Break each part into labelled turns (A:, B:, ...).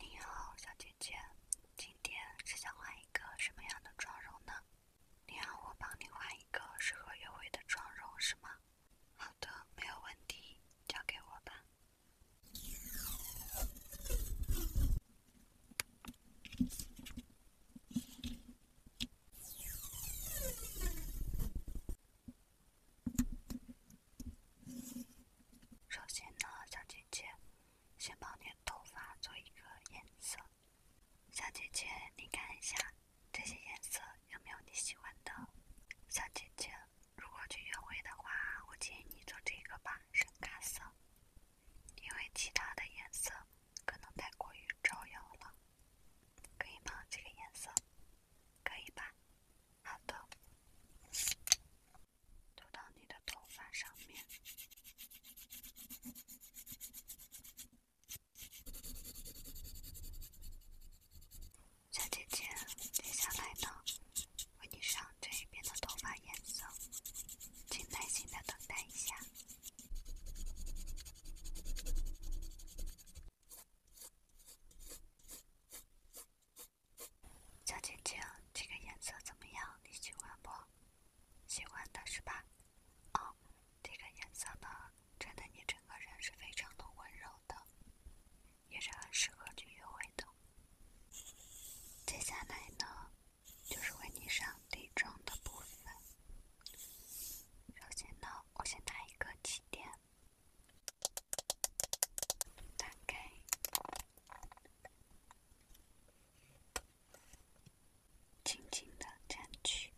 A: 你好，小姐姐，今天是想画一个什么样的妆容呢？你要我帮你画一个适合约会的妆容是吗？好的，没有问题，交给我吧。首先呢，小姐姐，先帮你的头发做一个颜色。小姐姐，你看一下这些颜色有没有你喜欢的？小姐姐，如果去约会的话，我建议你做这个吧，深咖色，因为其他的颜色可能太过于招摇了。可以吗？这个颜色，可以吧？好的，涂到你的头发上面，小姐姐，接下来呢，为你上这一边的头发颜色，请耐心的等待一下。小晶晶，这个颜色怎么样？你喜欢不？喜欢的是吧？哦，这个颜色呢，穿的你整个人是非常的温柔的，也是很适合去约会的。接下来呢，就是为你上底妆的部分。首先呢，我先打一个气垫。打开，轻轻的蘸取，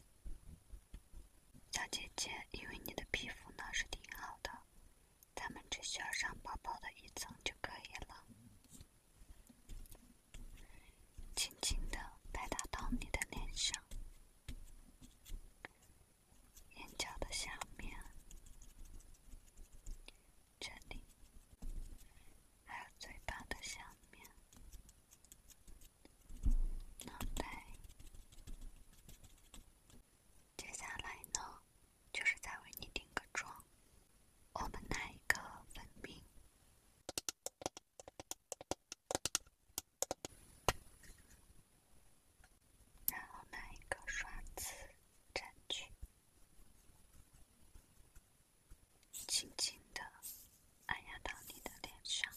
A: 小姐姐，因为你的皮肤呢是挺好的，咱们只需要上薄薄的一层就可以了，轻轻的拍打到你的脸上。眼角的下面，这里，还有嘴巴的下面，脑接下来呢，就是再为你定个妆。我们拿一个粉饼。然后拿一个刷子蘸取，轻轻的按压到你的脸上。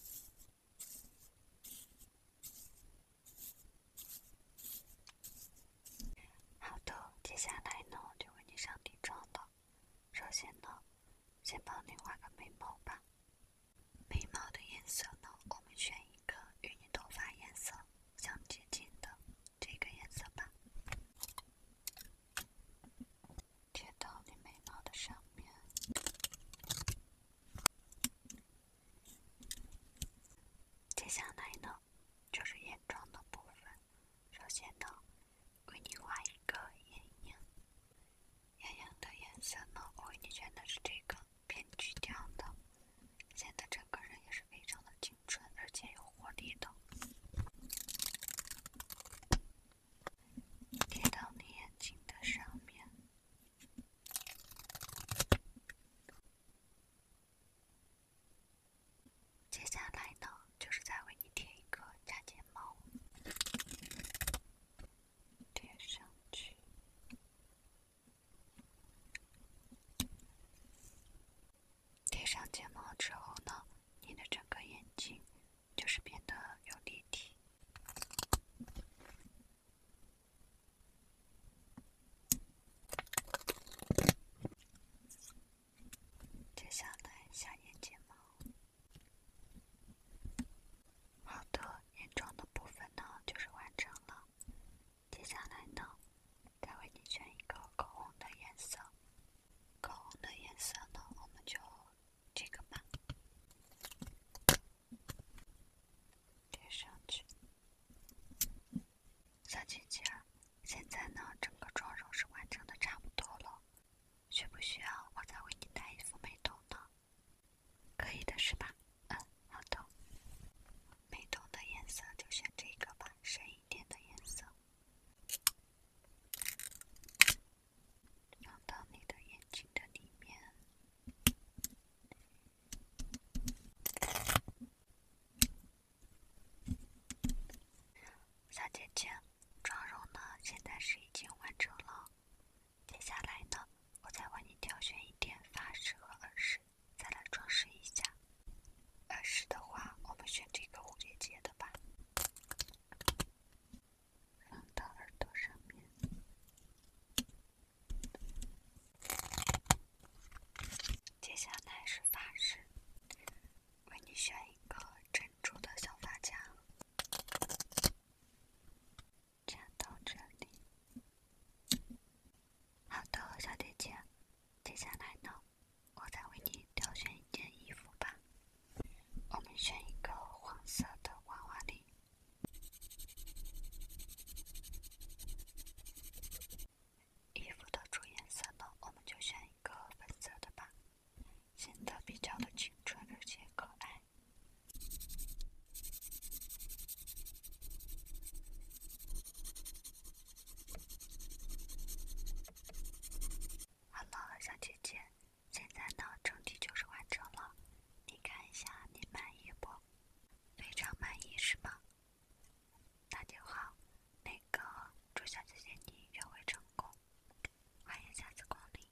A: 好的，接下来呢，就为你上底妆了。首先呢，先帮你画个眉毛吧。眉毛的颜色呢，我们选一个与你头发颜色相接近的这个颜色吧，贴到你眉毛的上面。接下来呢，就是眼妆的部分。首先呢，为你画一个眼影。眼影的颜色呢？我为你选的是这个偏橘调的，显得整个人也是非常的青春，而且有活力的。贴到你眼睛的上面。接下来呢，就是再为你贴一个假睫毛。贴上去，贴上睫毛之后呢，你的整个眼睛就是变得有立体。接下来，下眼睫毛。好的，眼妆的部分呢，就是完成了。接下来呢，再为你选一个口红的颜色。口红的颜色呢，我们就这个吧。贴上去。小姐姐，现在呢，整个妆容是完成的差不多了。需不需要我再为你带一副美瞳呢？可以的是吧？嗯，好的。美瞳的颜色就选这个吧，深一点的颜色。放到你的眼睛的里面。小姐姐，妆容呢？现在是已经完成了。接下来呢，我再为你挑选一点发饰和耳饰，再来装饰一下。耳饰的话，我们选这个蝴蝶结的吧，放到耳朵上面。接下来是发饰，为你选一个珍珠的小发夹。这样到这里，好的，小姐姐，接下来呢，我再为你挑选一件衣服吧。我们选一个黄色的娃娃领。衣服的主颜色呢，我们就选一个粉色的吧。显得比较的青春而且可爱。好了，小姐姐，现在呢整体就是完成了，你看一下你满意不？非常满意是吗？那就好，那个祝小姐姐你约会成功。欢迎下次光临。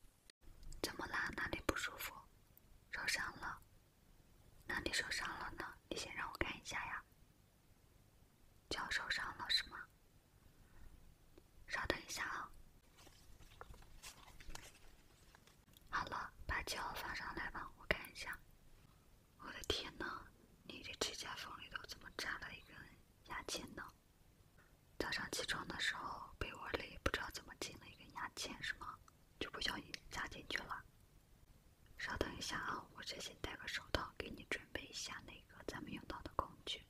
A: 怎么啦？哪里不舒服？受伤了？哪里受伤了呢？你先让我看一下呀。脚受伤了是吗？稍等一下啊。好了，把脚放上来吧，我看一下。我的天呐，你的指甲缝里头怎么扎了一个牙签呢？早上起床的时候，被窝里不知道怎么进了一根牙签，是吗？就不小心夹进去了。稍等一下啊，我这先戴个手套，给你准备一下那个咱们用到的工具。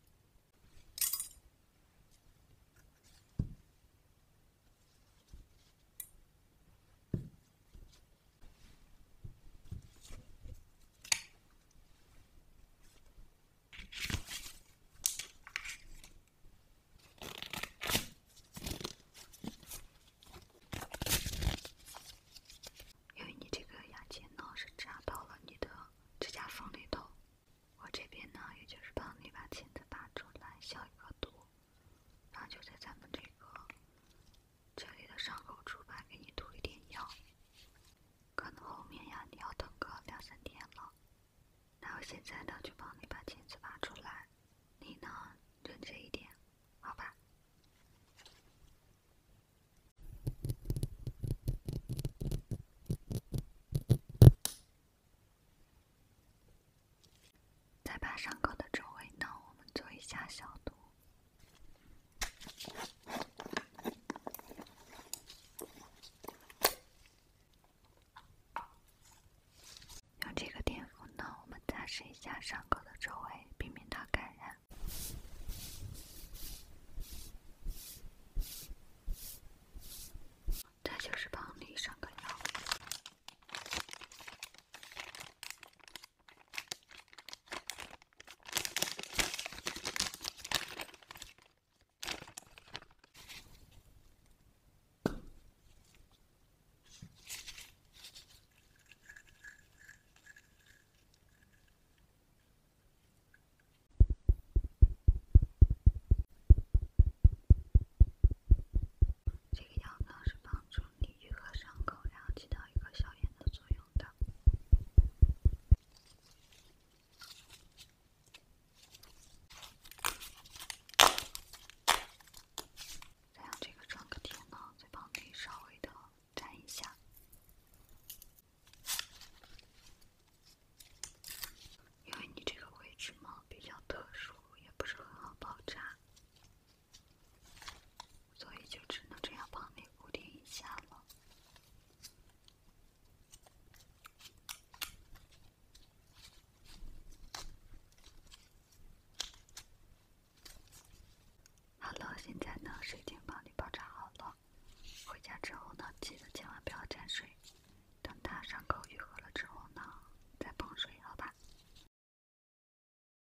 A: 因为你这个牙签呢是扎到了你的指甲缝里头，我这边呢也就是帮你把钳子拔出来消一个毒，然后就在咱们这个这里的伤口处吧，给你涂一点药。可能后面呀，你要等个两三天了。那我现在呢，就帮你把钳子拔出来。你呢，认真一点，好吧？再把伤口的周围呢，我们做一下消毒。用这个碘伏呢，我们擦拭一下伤口的周围，避免它感染。这就是帮你上个药。这个药膏是帮助。你愈合伤口，然后起到一个消炎的作用的。再用这个创可贴呢，再帮你稍微的粘一下，因为你这个位置嘛比较特殊，也不是很好包扎。所以就只能这样帮你固定一下了。好了，现在呢水晶帮你包扎好了，回家之后呢记得千万不要沾水，等它伤口愈合了之后呢再碰水，好吧？